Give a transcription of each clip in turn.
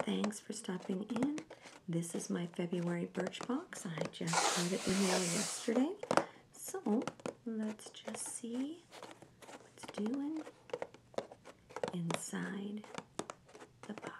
Thanks for stopping in. This is my February birch box. I just got it in the mail yesterday. So let's just see what's doing inside the box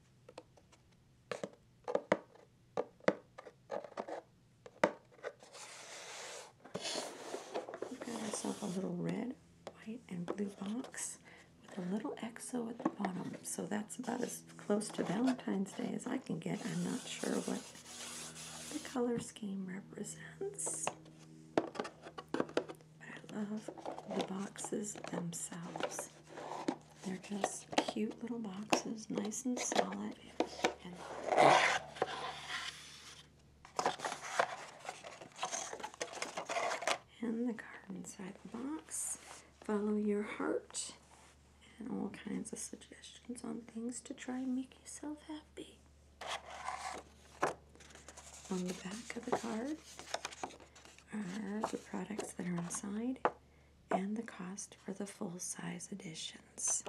i got myself a little red, white, and blue box with a little XO at the bottom. So that's about as close to Valentine's Day as I can get. I'm not sure what the color scheme represents. I love the boxes themselves. They're just cute little boxes, nice and solid. And the card inside the box. Follow your heart and all kinds of suggestions on things to try and make yourself happy. On the back of the card are the products that are inside and the cost for the full size editions.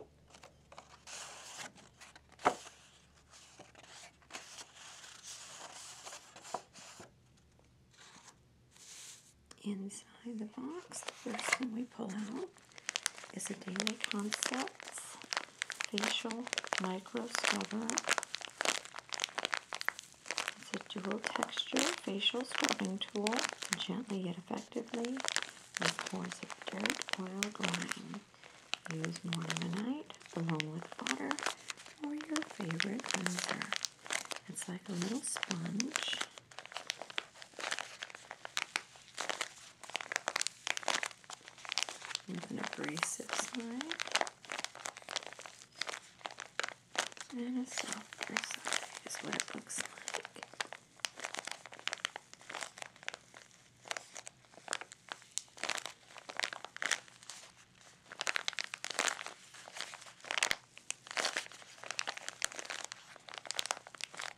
Inside the box, the first thing we pull out is the Daily Concepts facial micro stubber. It's a dual texture facial scrubbing tool, gently yet effectively, with pores of dirt, oil, grime. Use morning and night, along with water, or your favorite cleanser. It's like a little sponge with an abrasive side and a softer side is what it looks like.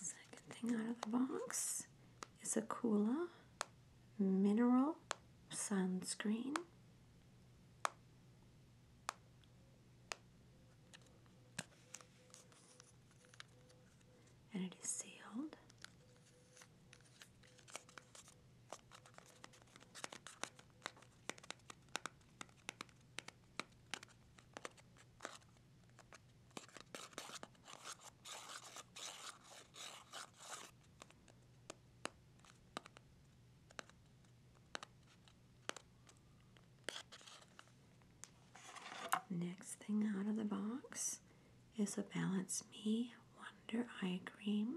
Second thing out of the box is a Kula mineral sunscreen. And it is sealed. Next thing out of the box is a Balance Me Wonder Eye Cream.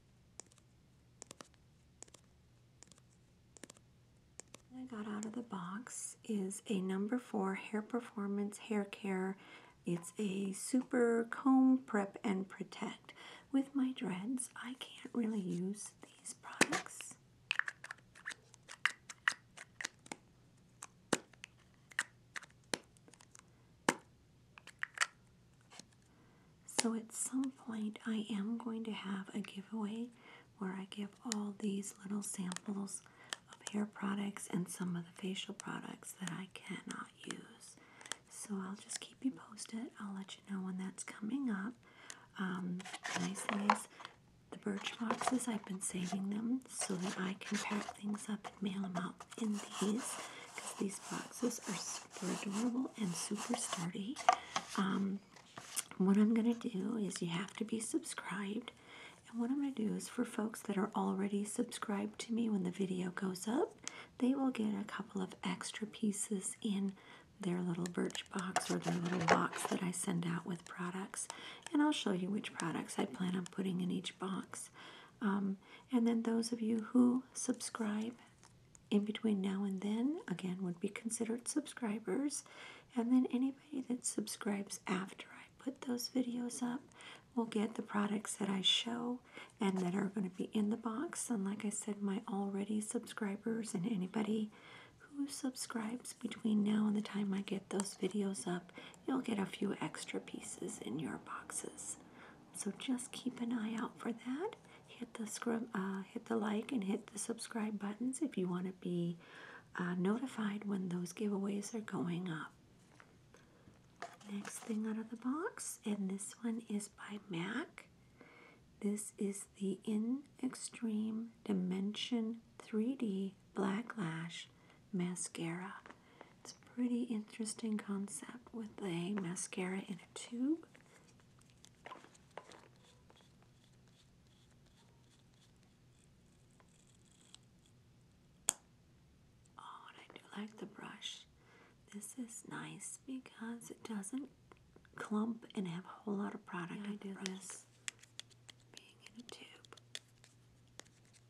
I got out of the box is a number four hair performance hair care. It's a super comb prep and protect. With my dreads, I can't really use these products. So at some point, I am going to have a giveaway where I give all these little samples of hair products and some of the facial products that I cannot use. So I'll just keep you posted. I'll let you know when that's coming up. Um, nice thing the birch boxes, I've been saving them so that I can pack things up mail them out in these because these boxes are super adorable and super sturdy. Um, what I'm going to do is you have to be subscribed. And what I'm going to do is for folks that are already subscribed to me when the video goes up, they will get a couple of extra pieces in their little birch box or the little box that I send out with products. And I'll show you which products I plan on putting in each box. Um, and then those of you who subscribe in between now and then, again, would be considered subscribers. And then anybody that subscribes after I put those videos up will get the products that I show and that are going to be in the box. And like I said, my already subscribers and anybody who subscribes between now and the time I get those videos up you'll get a few extra pieces in your boxes. So just keep an eye out for that. Hit the scrub, uh, hit the like and hit the subscribe buttons if you want to be uh, notified when those giveaways are going up. Next thing out of the box, and this one is by MAC. This is the In Extreme Dimension 3D Black Lash mascara. It's a pretty interesting concept with a mascara in a tube. Oh, I do like the brush. This is nice because it doesn't clump and have a whole lot of product. I do this being in a tube.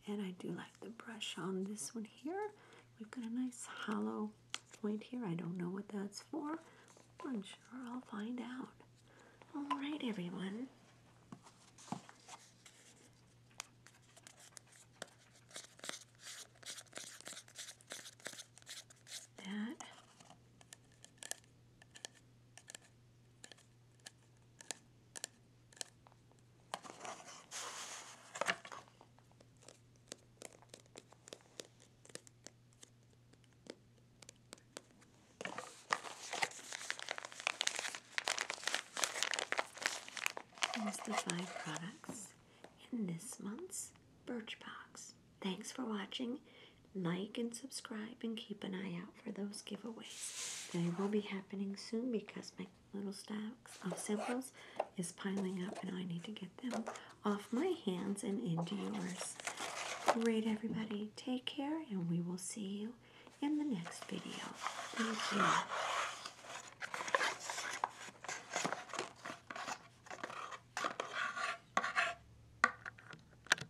And I do like the brush on this one here. We've got a nice hollow point here. I don't know what that's for. I'm sure I'll find out. All right, everyone. That Here's the five products in this month's Birchbox. Thanks for watching like and subscribe and keep an eye out for those giveaways. They will be happening soon because my little stacks of samples is piling up and I need to get them off my hands and into yours. Great everybody, take care and we will see you in the next video. Thank you.